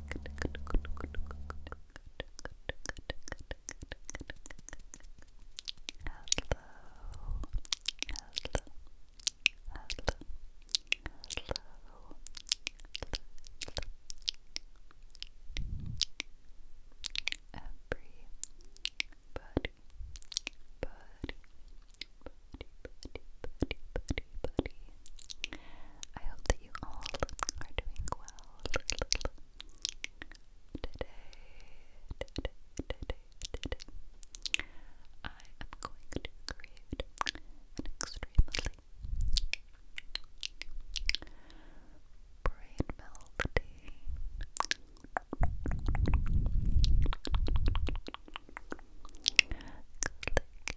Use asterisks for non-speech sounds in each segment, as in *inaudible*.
buddy, buddy, buddy, buddy, buddy. I hope that you all are doing well today. I am going to create an extremely brain melting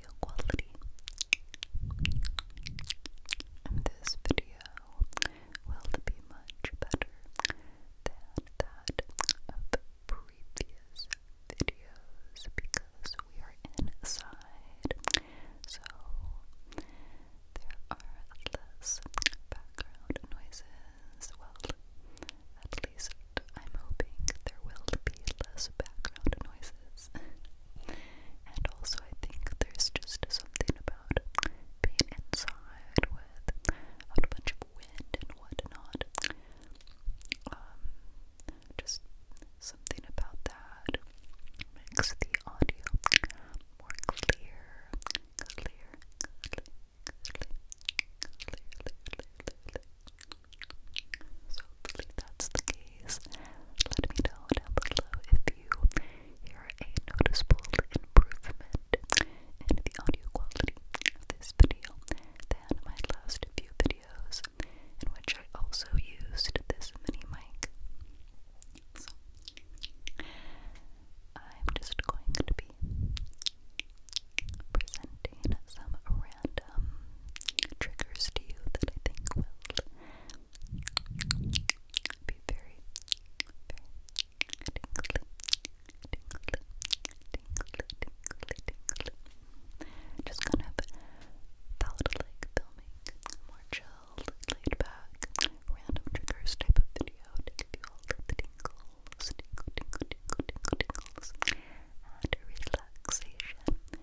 video quality. this video will be much better than that of previous videos because we are inside, so there are less background noises. Well, at least I'm hoping there will be less background noises pieces. and also, I think there's just something about being inside with a bunch of wind and whatnot. Um, just something about that makes the audio more clear, hopefully that's the case. Let me know down below if you hear a noticeable improvement in the audio quality of this video than my last few videos in which I also used this mini mic. So, I'm just going to be presenting some random triggers to you that I think will be Just kind of palette-like filming, more chilled, laid back, random triggers type of video to you tingles, tingle, tingle, tingle, tingles, and relaxation.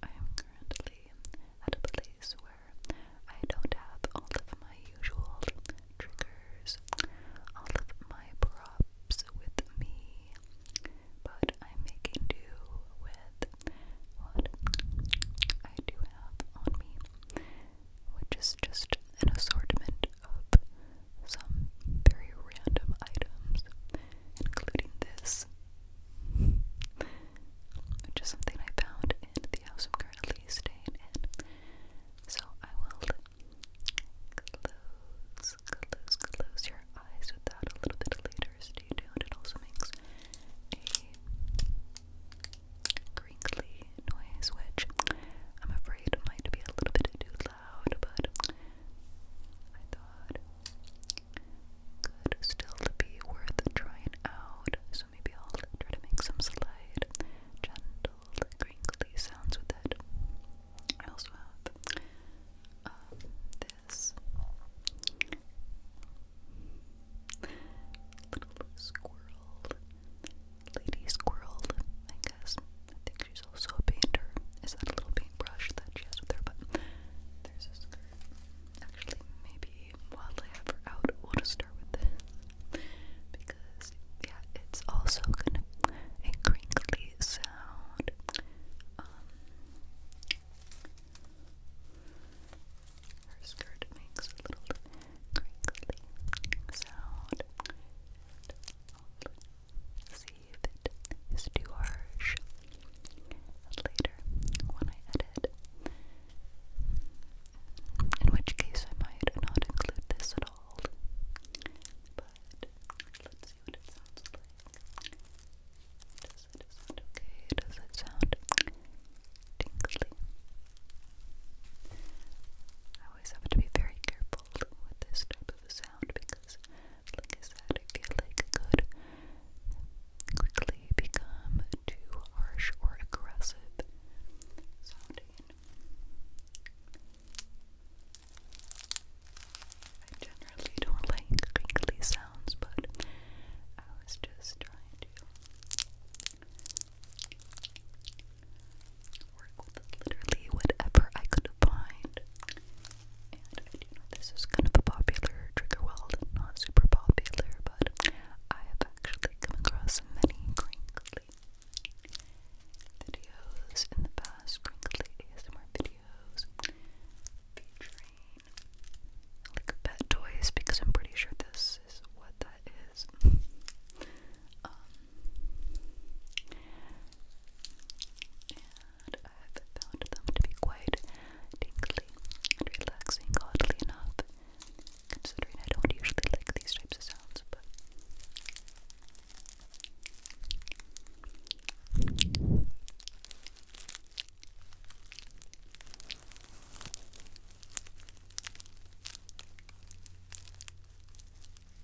I am currently at a place where I don't have all of my usual triggers, all of my props with me, but I'm making do with what I do have on me, which is just an assortment of some very random items, including this, which is something I found in the house currently staying So I will close, close, close your eyes with a little bit later. Stay tuned. It also makes a crinkly noise, which I'm afraid might be a little bit loud, but I thought could still be worth trying out. So maybe I'll try to make some slight, gentle, crinkly sounds with it. I also have um, this little squirrel, lady squirrel, I guess. I think she's also a painter. Is that a little paintbrush that she has with her? But there's a skirt. Actually, maybe while I have her out, we'll just start with this. Because, yeah, it's also kind of a crinkly sound. Um, her skirt makes a little crinkly sound. Um, see it is too harsh. And later, when I edit, in which case I might not include this at all. But let's see what it sounds like. Does it sound okay? Does it sound tingly? I always have to be very careful with this type of sound because, like I like could quickly become too harsh or aggressive sounding. I generally don't like crinkly sounds, but I was just trying to work with literally whatever I could find. And I do know this is kind of a popular trigger world, not super popular, but I have actually come across many crinkly videos in the past, crinkly ASMR videos featuring like pet toys because I'm pretty sure this is what that is. *laughs* um, I've found them to be quite tingly and relaxing, oddly enough, considering I don't usually like these types of sounds, but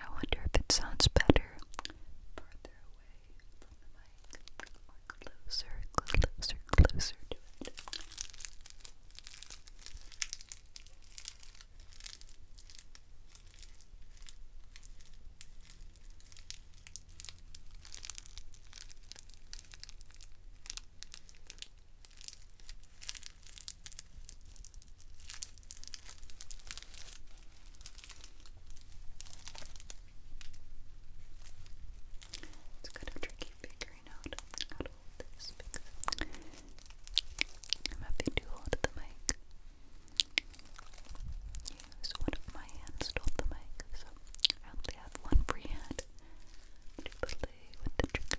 I wonder if it sounds better closer, closer, closer to it. It's kind of tricky figuring out how to hold this because I'm happy to hold the mic. Use one of my hands to hold the mic, so I only have one free hand to play with the trigger.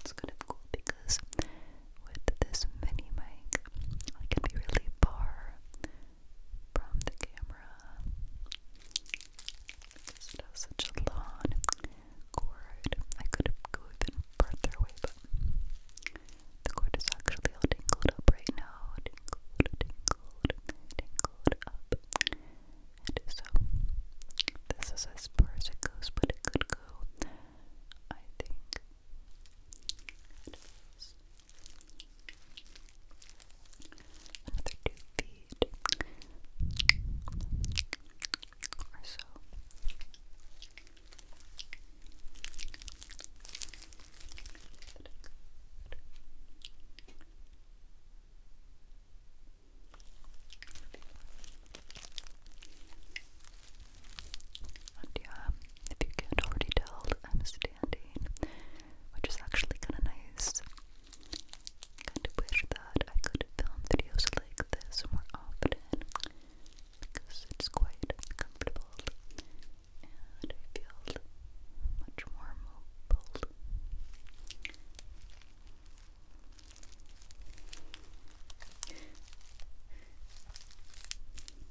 It's kind of cool because with this mini mic, I can be really far from the camera because it has such a cord. I could go even further away, but the cord is actually all tangled up right now. Tingled, tingled, tingled up. And so, this is as far as it goes, but it could go, I think, Another two feet or so. Good. And yeah, um, if you can't already tell, I'm standing, which is actually kind of nice. kind of wish that I could film videos like this more often because it's quite comfortable and I feel much more mobile.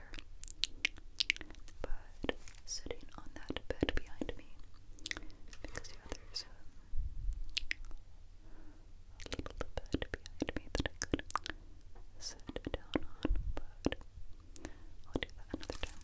closer. But sitting on that bed behind me, because yeah, there's a little bed behind me that I could sit down on, but I'll do that another time.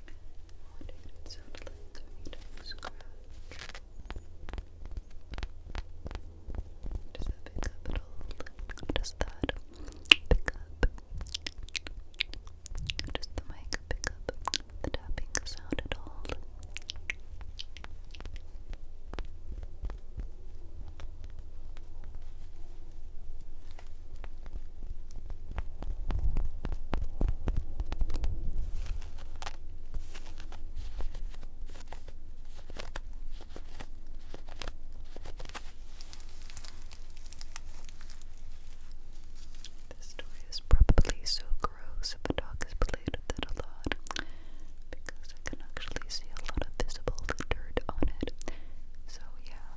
What did Does that pick up at all? Does that pick up? Does the mic pick up the tapping sound at all? This toy is probably so gross if a dog has played with it a lot because I can actually see a lot of visible dirt on it. So, yeah.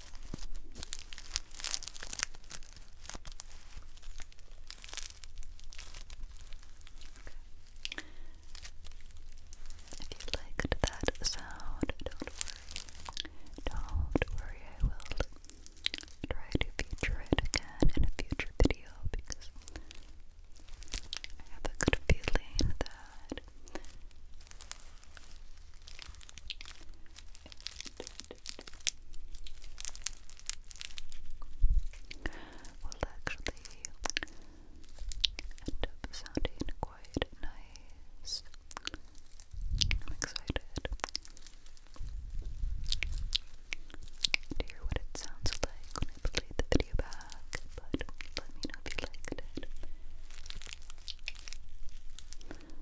Okay. If you liked that sound, don't worry. Don't worry, I will try to feature it again in a future video because I have a good feeling that will actually end up sounding quite nice. I'm excited to hear what it sounds like when I play the video back, but let me know if you liked it.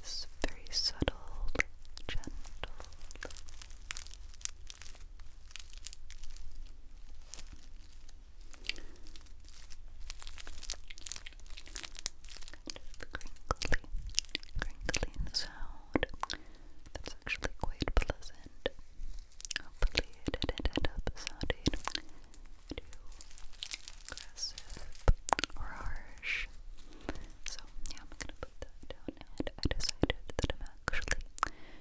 this very subtle, gentle kind crinkly, sound that's actually quite pleasant. Hopefully it ended up sounding aggressive or harsh. So, yeah, I'm gonna put that down, and I decided that I'm actually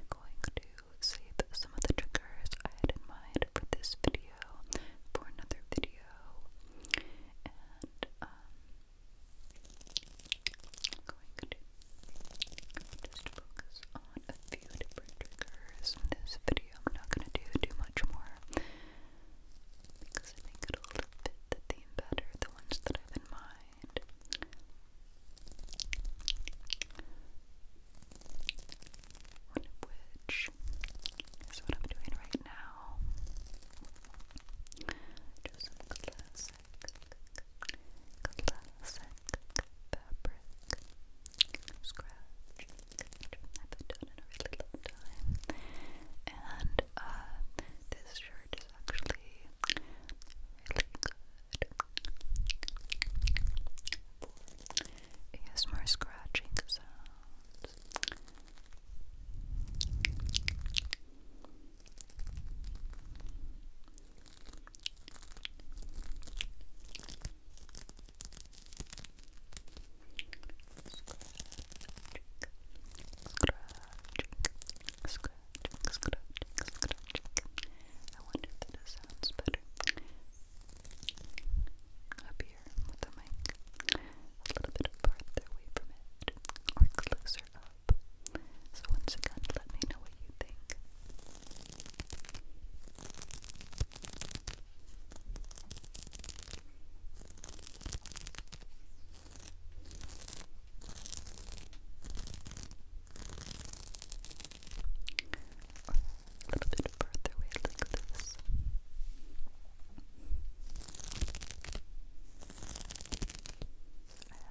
going to save some of the triggers I had in mind for this video for another video. And, um, I'm going to just focus on a few different triggers in this video. I'm not going to do too much more because I think it'll fit the theme better, the ones that I've in mind. which is what I'm doing right now. Do some classic, classic fabric scratch haven't done in a really time. And uh, this shirt is actually really good for ASMR scratching sounds scratching, I wonder if that sounds better up here with the mic. A little bit farther away from it, or closer up. So once again, let me know what you think. A little bit further away like this. I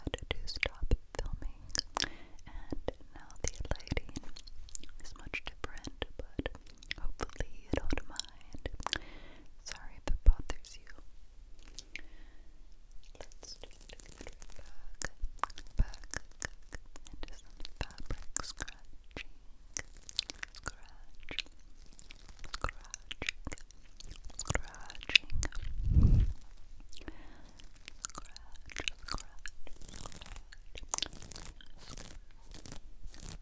had to stop filming and now the lighting is much different, but Hopefully you don't mind. Sorry if it bothers you. Let's just get back, back, into some fabric scratching. Scratch, scratch, scratching. Scratch, scratch, scratch.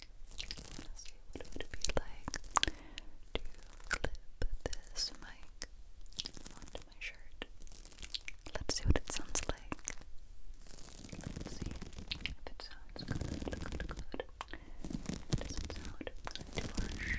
want to see what it would be like to clip this mic onto my shirt. Let's see what it sounds like. Let's see if it sounds good, good, good. It doesn't sound too harsh.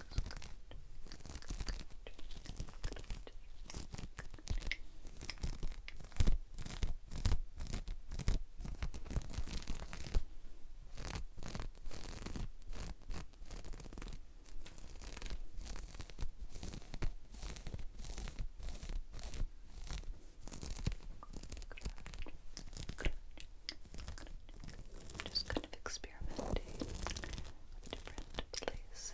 Just kind of explore experimenting with different places.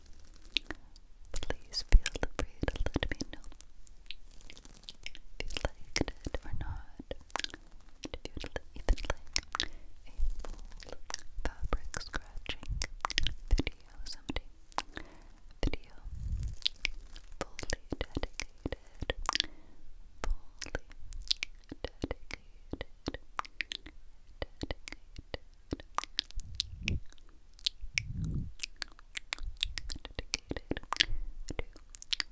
Please feel free to let me know if you liked it or not. if you'd even like a full fabric scratching video someday, video fully dedicated, fully dedicated. Dedicated dedicated to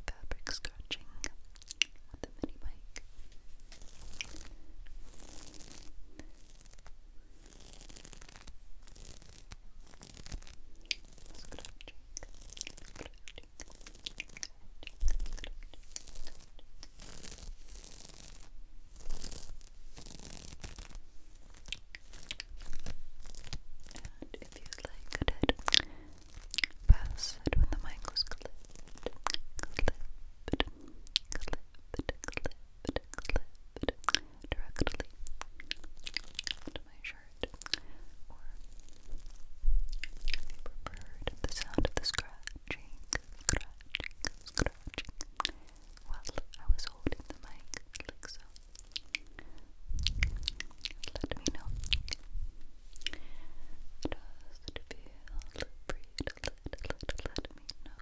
fabric scratching with a mini mic. Scratching, scratching, scratching, scratching, and if you like it, pass when the mic was clipped, clipped, clipped, clipped, clipped directly to my shirt. Or if you preferred the sound of the scratching, scratching, scratching. Well, I was holding the mic like so. Let me know. Does feel free let, let, Let me know.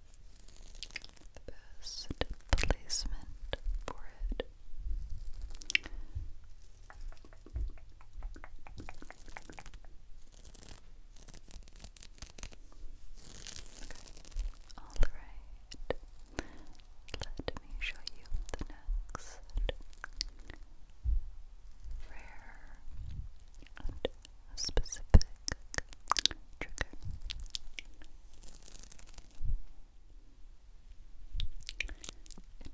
the best placement for it. All right. Let me show you the next rare specific trigger. Necklace.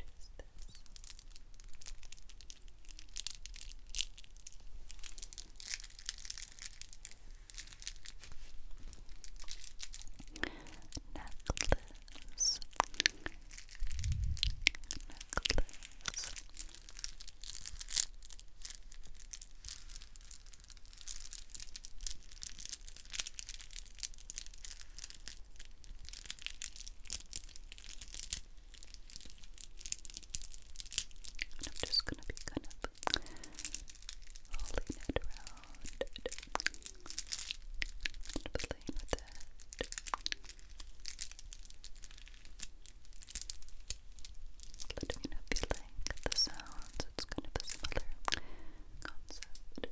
Necklace. And I'm just gonna be kind of holding it around and playing with it. Let me know you like the sounds. It's kind of a similar concept.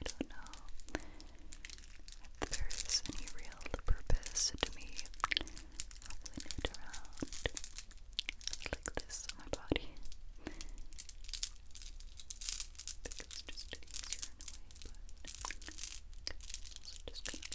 I don't know if there is any real purpose to me waffling it around like this on my body. Because it's just easier in a way, but just gonna look and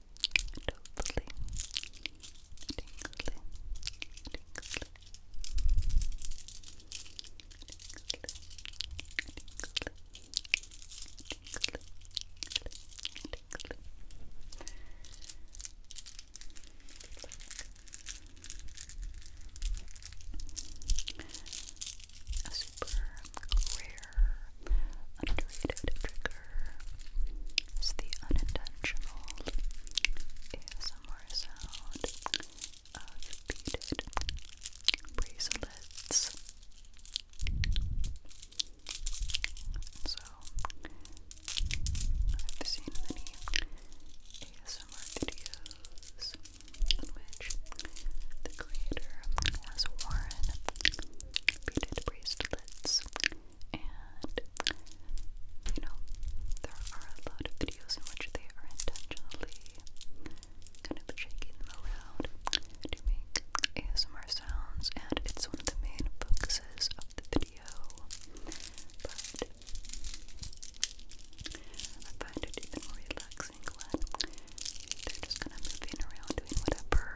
Hopefully, tingly, A super rare, underrated trick trigger is the unintentional ASMR sound of beaded bracelets. So, I've seen many ASMR videos in which the creator has worn beaded bracelets and, you know, there are a lot of videos in which they are intentionally kind of shaking them around to make ASMR sounds, and it's one of the main focuses of the video. But I find it even more relaxing when they're just kind of moving around doing whatever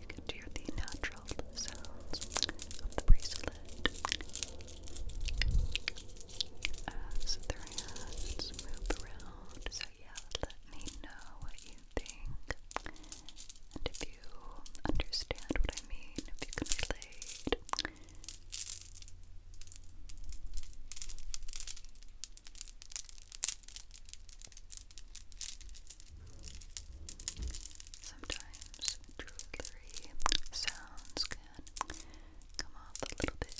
you can hear the natural sounds of the bracelet as their hands move around. So, yeah, let me know what you think. And if you understand what I mean, if you can relate. Sometimes jewelry sounds can come off a little bit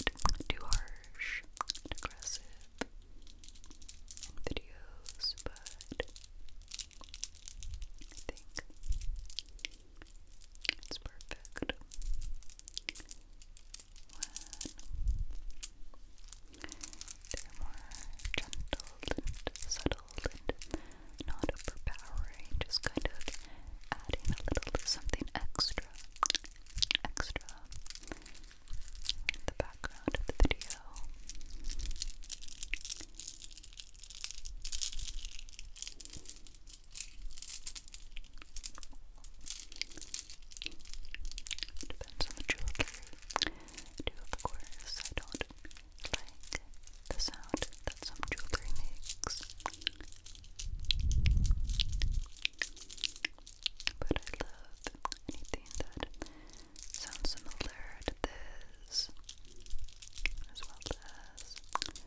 too harsh and aggressive in videos, but I think it's perfect they're more gentle and subtle and not overpowering, just kind of adding a little something extra, extra in the background of the video. Depends on the jewelry do, of course, I don't like the sound that some jewelry makes. But I love anything that sounds similar to this, as well as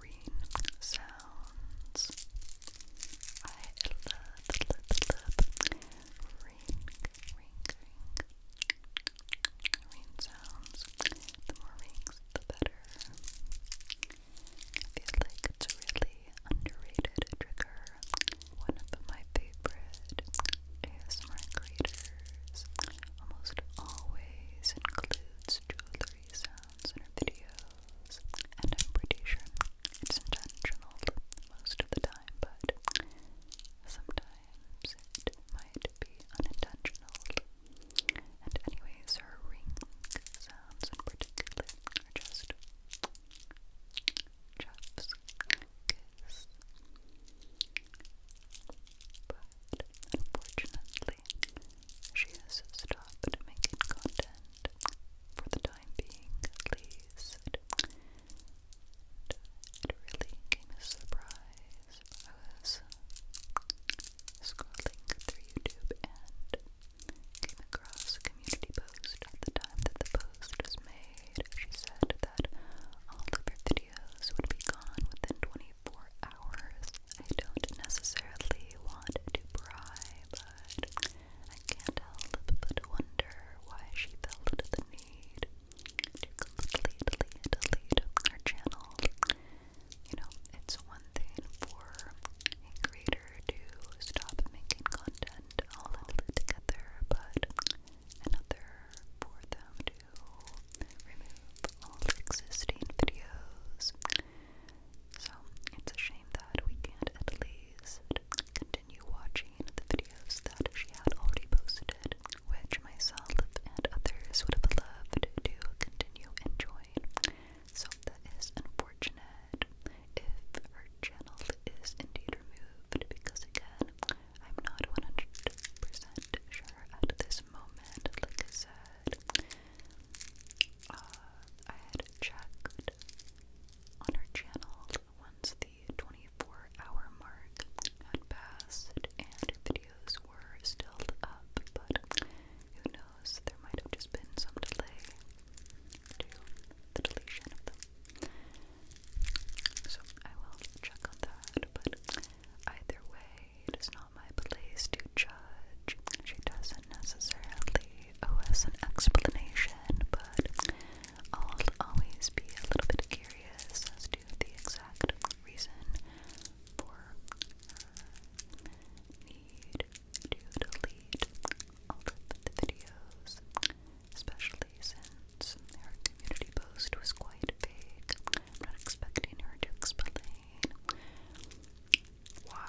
ring sounds ring, ring, ring, sounds. The more rings, the better. I feel like it's really underrated trigger. One of my favorite ASMR creators almost always includes jewelry sounds in her videos, and i it's intentional most of the time, but Sometimes it might be unintentional. And anyways, her ring sounds in particular are just Jeff's kiss. But unfortunately, she has stopped making content for the time being, at least. It really came as a surprise. I was scrolling through YouTube and came across a community post at the time that the post was made. She said that all of her videos would be gone within 24 hours. I don't necessarily want to pry, but I can't help but wonder why she felt the lead, lead, lead our channel. You know, it's one thing for a to stop making content all together, but another for them to remove all existing videos. So it's a shame that we can't at least continue watching the videos that she had already posted, which myself and others would have loved to continue enjoying. So that is unfortunate if her channel is indeed removed because again, I'm not 100% sure at this moment, like I said. Uh, I had checked on her channel once the 24-hour mark had passed and videos were still up, but who knows, there might have just been some delay to the deletion of them. So I will check on that, but either way, it is not my place to judge. She doesn't necessarily owe us an explanation, but I'll always be a little bit curious as to the exact reason for uh, need to delete all of the videos, especially since her community post was quite vague. I'm not expecting her to explain why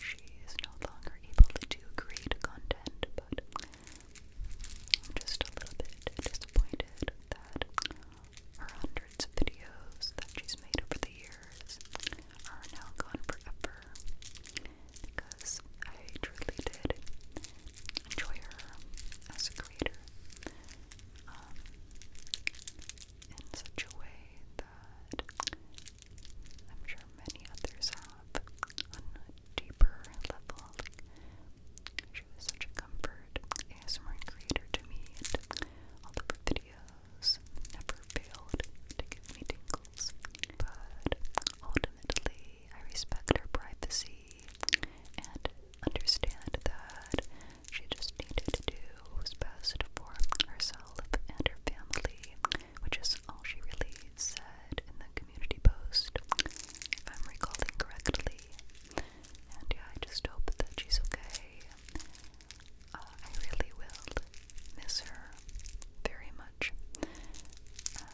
she is no longer able to create content, but I'm just a little bit disappointed that her hundreds of videos that she's made over the years are now gone forever because I truly did enjoy her as a creator um, in such a way that I'm sure many others on a deeper level. She was such a comfort ASMR creator to me, all of her videos never failed to give me tingles. But ultimately, I respect her privacy and understand that she just needed to do what was best for herself and her family, which is all she really said in the community post, if I'm recalling correctly. And yeah, I just hope that she's okay. Uh, I really will miss her very much.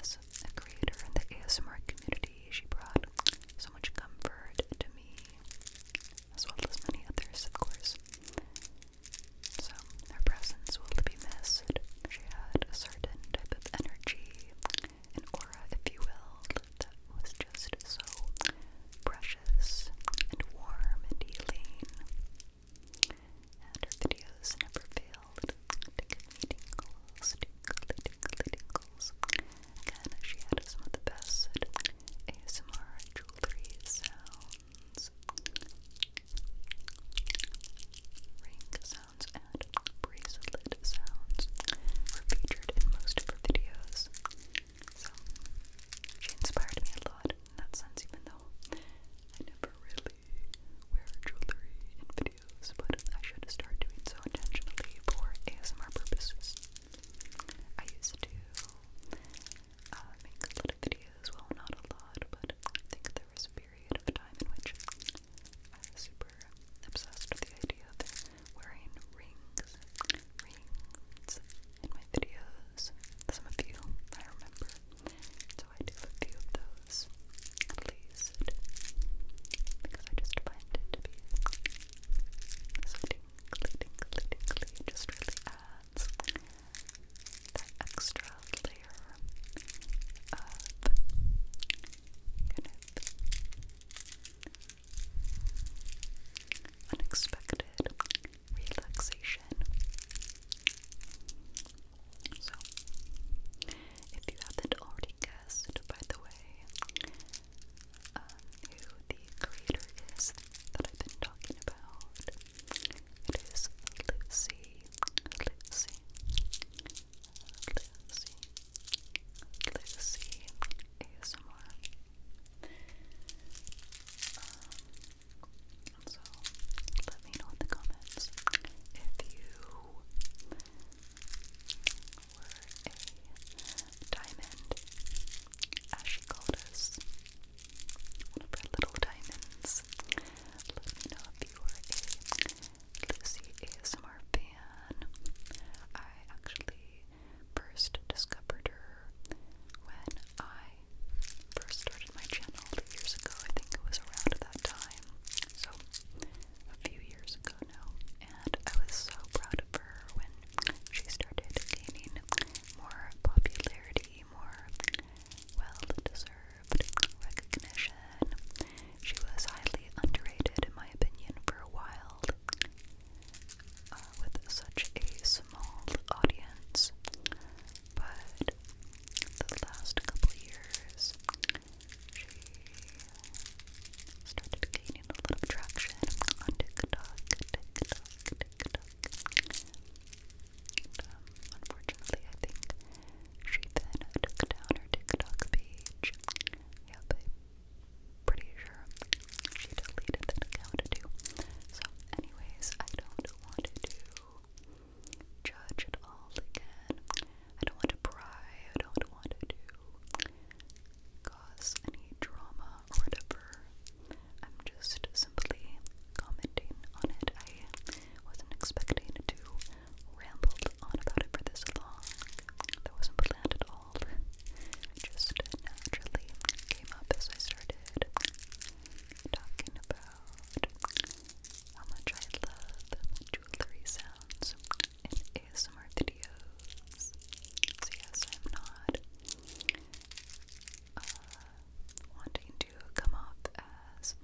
As a creator in the ASMR community, she brought so much comfort to me, as well as many others, of course. So, her presence will be missed. She had a certain type of energy an aura, if you will, that was just so precious and warm and healing. her videos never failed to give me tingles, tingly, she had some of the best ASMR jewelry sounds, ring sounds and bracelet sounds were featured in most of her videos. So she inspired me a lot in that sense, even though I never really wear jewelry in videos, but I should start doing so intentionally for ASMR purposes. I used to uh, make a lot of videos, well, not a lot, but I think there was period of time in which I was super obsessed with the idea of wearing rings, rings in my videos. Some of you, I remember. So I do a few of those, at least, because I just find it to be just really adds that extra of unexpected relaxation. So, if you haven't already guessed, by the way, um, who the creator is that I've been talking about, it is Lizzie, Lizzie, Lucy, Lucy ASMR. Um, so let me know in the comments if you were a diamond, as she called us, one of her little diamonds. Let me know if you were a Lucy ASMR fan. I actually first discovered her when I first started my channel years ago. I think it was around that time. So a few years ago now. And I was so proud of her when she started gaining more popularity, more well deserved recognition. She was highly underrated, in my opinion, for a while. Uh, with such a small audience, but the last couple years she started gaining a lot traction um, unfortunately, I think she then took down her TikTok page. Yep, pretty sure she deleted that account too. So, anyways, I don't want to judge it all again. I don't want to pry. I don't want to cause any drama or whatever. I'm just simply commenting on it. I wasn't expecting to ramble on about it for this long. That wasn't planned at all. Just naturally came up as I started talking about how much I love jewelry sounds in ASMR videos. So yes, I'm not uh, wanting to come off as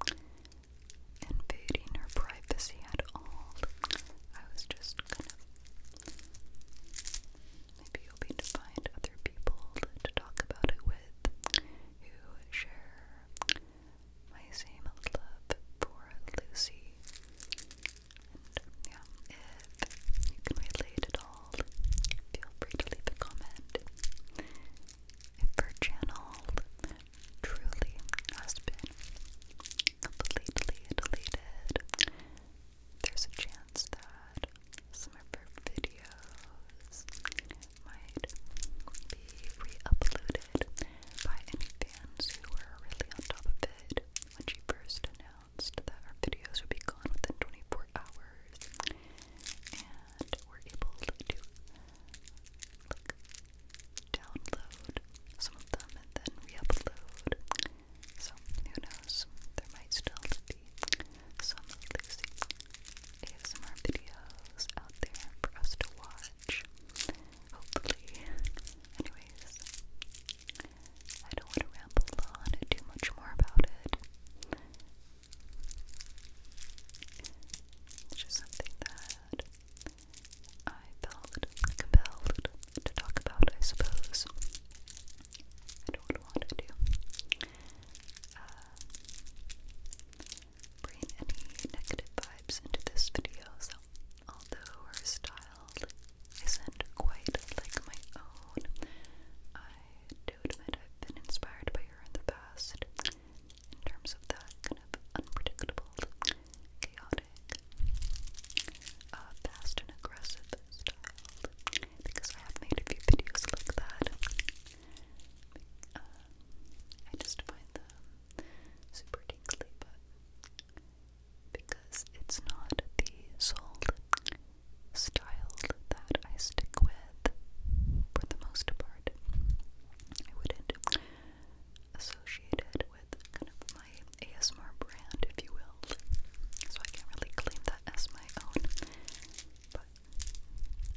invading her privacy at all. I was just kind of. Maybe hoping to find other people to talk about it with who share my same love for Lucy. And yeah, if you can relate at all, feel free to leave a comment. If her channel truly has been completely deleted, there's a chance that some of her videos might be re by any fans who were really on top of it when she first announced that her videos would be gone within 24 hours and were able to like, download some of them and then re-upload. So who knows? There might still be some Lucy ASMR videos out there for us to watch. Hopefully. Anyways, I don't want to ramble on and do much more about it. It's just something that I felt compelled to talk about, I suppose. I don't want to do. bring any negative vibes into this video, although her style isn't quite like my own, I do admit I've been inspired by her in the past in terms of that kind of unpredictable, chaotic, uh, fast and aggressive style because I have made a few videos like that. Um, I just find them super tingly, because it's not the sold style that I stick with for the most part, I wouldn't associated with my ASMR brand, if you will. So I can't really claim that as my own. But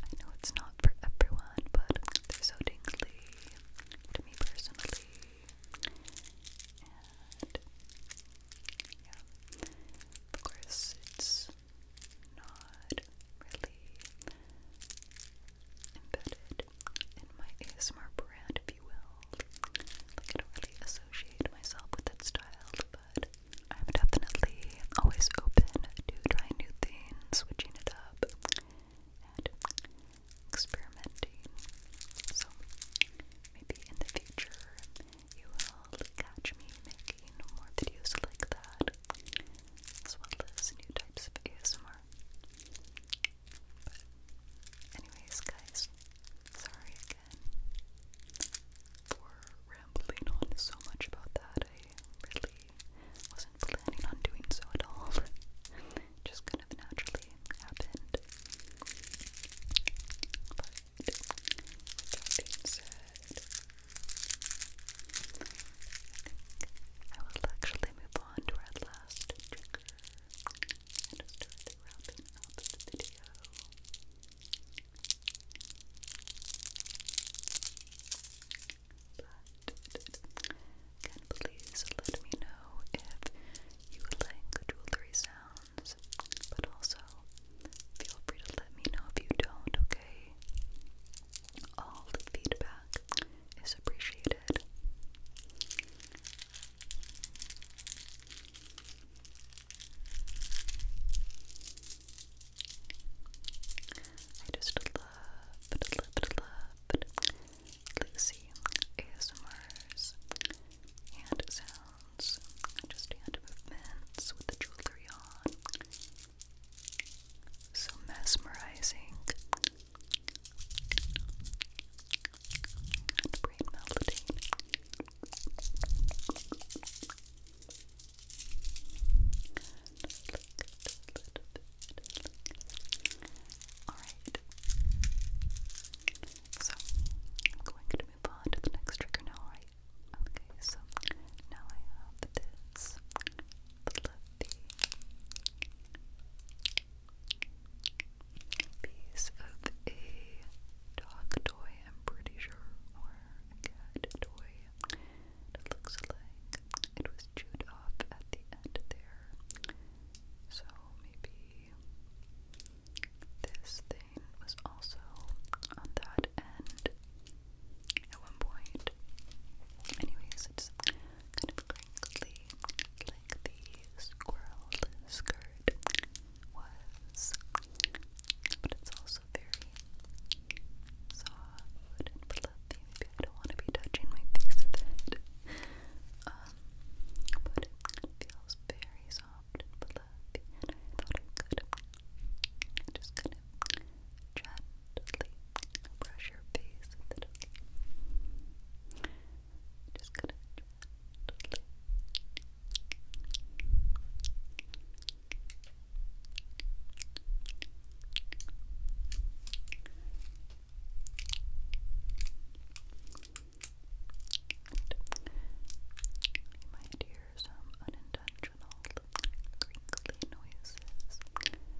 I know it's not for everyone, but they're so dingly to me personally. And yeah, of course, it's not really embedded in my ASMR brand, if you will. Like, I really associate myself with that style, but I'm definitely always open to trying new things, switching it up, and experimenting. So, maybe in the future, you will catch me making more videos like that, as well as new types of ASMR anyways guys, sorry again for rambling on so much about that. I really wasn't planning on doing so at all. *laughs* Just kind of naturally happened. But that being said, I will actually move on to our last please let me know if you like jewelry sounds, but also feel free to let me know if you don't, okay? All the feedback is appreciated. I just loved, loved, loved Lucy ASMRs, hand sounds, just hand movements with the jewelry on so mesmerizing and brain melting. Alright. So I'm going to move on to the next trigger now, right? Okay, so now I have this piece of a dog toy, I'm pretty sure, or cat toy. looks like it was chewed off at the end there. So maybe this thing was also on that end at one point. Anyways, it's kind of crinkly, like the squirrel skirt was, but it's also very soft and fluffy. I don't want to be touching my face with it, um, but it feels very soft and fluffy, thought I could just kind of chat gently brush your face with it, Just gonna you might hear some unintentional crinkly noises. crinkle,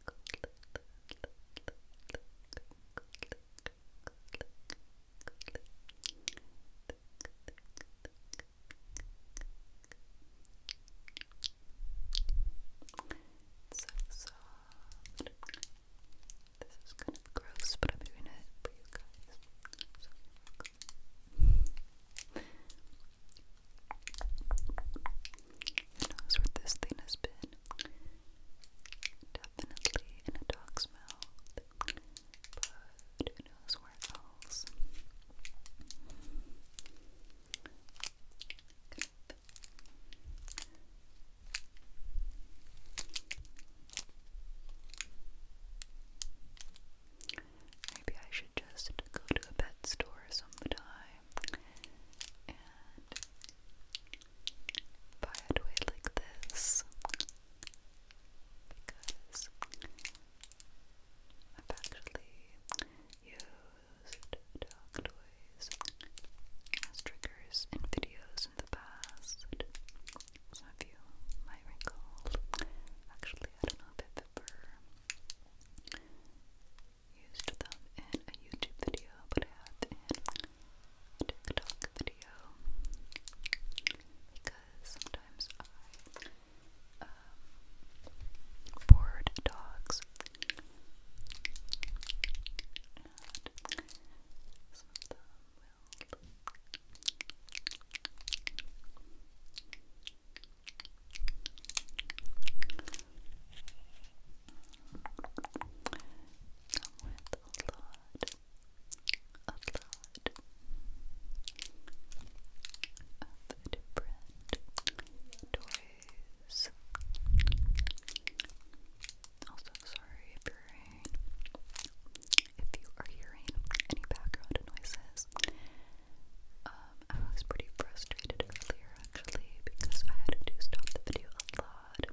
It's so soft. This is kind of gross, but I'm doing it for you guys. Who knows where this thing has been? Definitely in a dog's mouth, but who knows where else? Good. Maybe I should just go to a pet store sometime and buy it like this because I've actually used dog toys as triggers videos in the past. Some of you might recall. Actually, I don't know if i ever used them in a YouTube video, but I have in a TikTok video because sometimes I um, board dogs and some of them will Come a lot, a lot of different toys. Also, sorry if you're hearing, if you are hearing any background noises. Um, I was pretty frustrated earlier actually because I had to stop the video a lot. So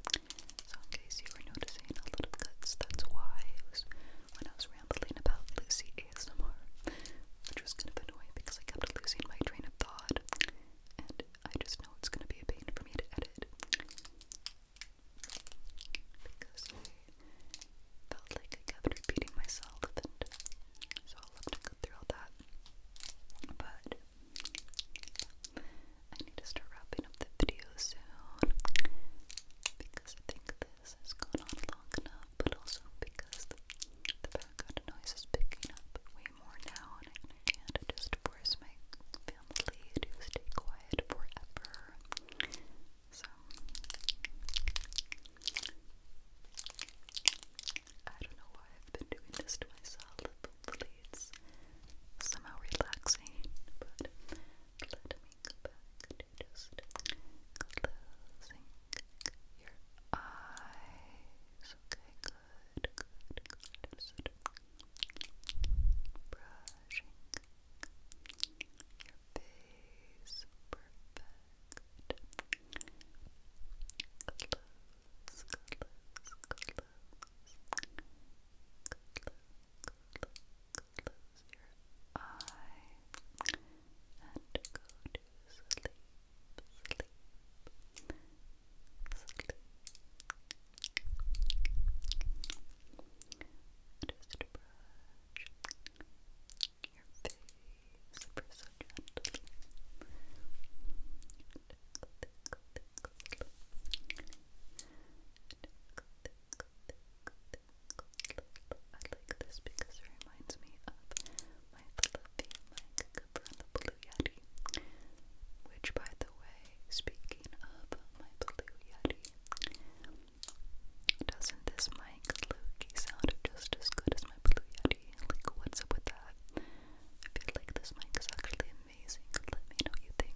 in case you were noticing a little cuts, that's why it was when I was rambling about Lucy ASMR, which was kind of annoying because I kept losing my train of thought, and I just know it's gonna be a pain for me to edit because I felt like I kept repeating myself, and so I'll have to go through all that. But I need to start wrapping up the video soon because I think this has gone on long enough, but also because the, background noise is picking up way more now, and I can't just force my family to stay quiet forever. So, I don't know why I've been doing this to myself. Hopefully, it's somehow relaxing, but let me go your eyes. brushing your face. Perfect close, close, close. your eye and go to sleep, sleep, sleep. brush your face ever so I like this because it reminds me of my fluffy mic from the Blue Yeti. Which, by the way, speaking of my Blue Yeti, doesn't this mic, Lukey, sound just as good as my Blue Yeti? Like, what's up with that? I feel like this mic is actually amazing. Let me know what you think.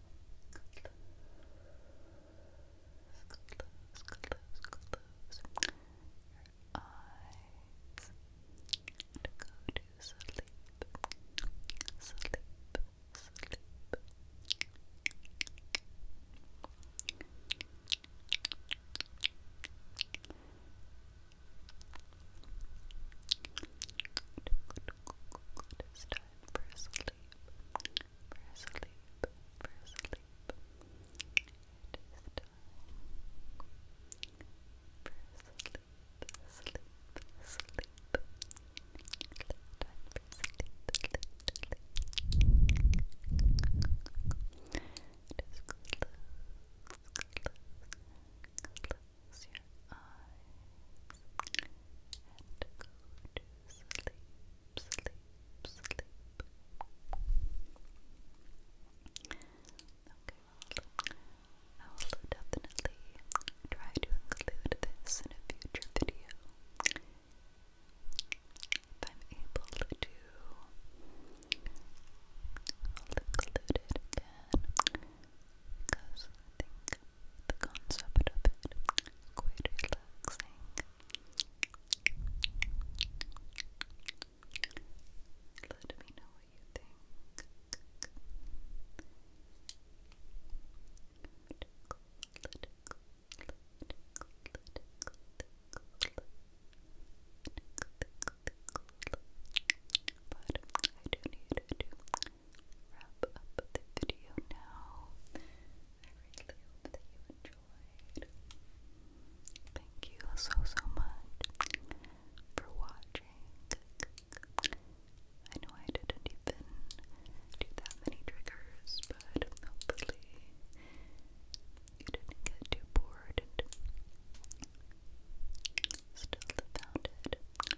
close, close, close your eyes and go to sleep, sleep, sleep. Stop time for sleep, for sleep, for sleep. It is time for sleep, sleep, sleep. Time for sleep, sleep, sleep. Just close, close, close. Close your eyes and go to sleep, sleep, sleep. Okay, I will definitely try to include this in a future video if I'm able to include it again because I think the concept of it quite relaxing. Let me know what you think. but I do need to wrap up the video now. I really hope that you enjoyed. Thank you so so much for watching. I know I didn't even do that many triggers, but hopefully you didn't get too bored and still found it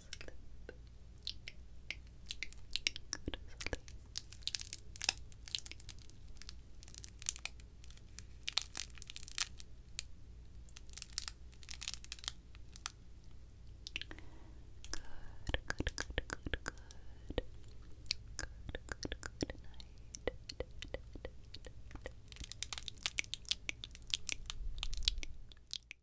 good, good, good night.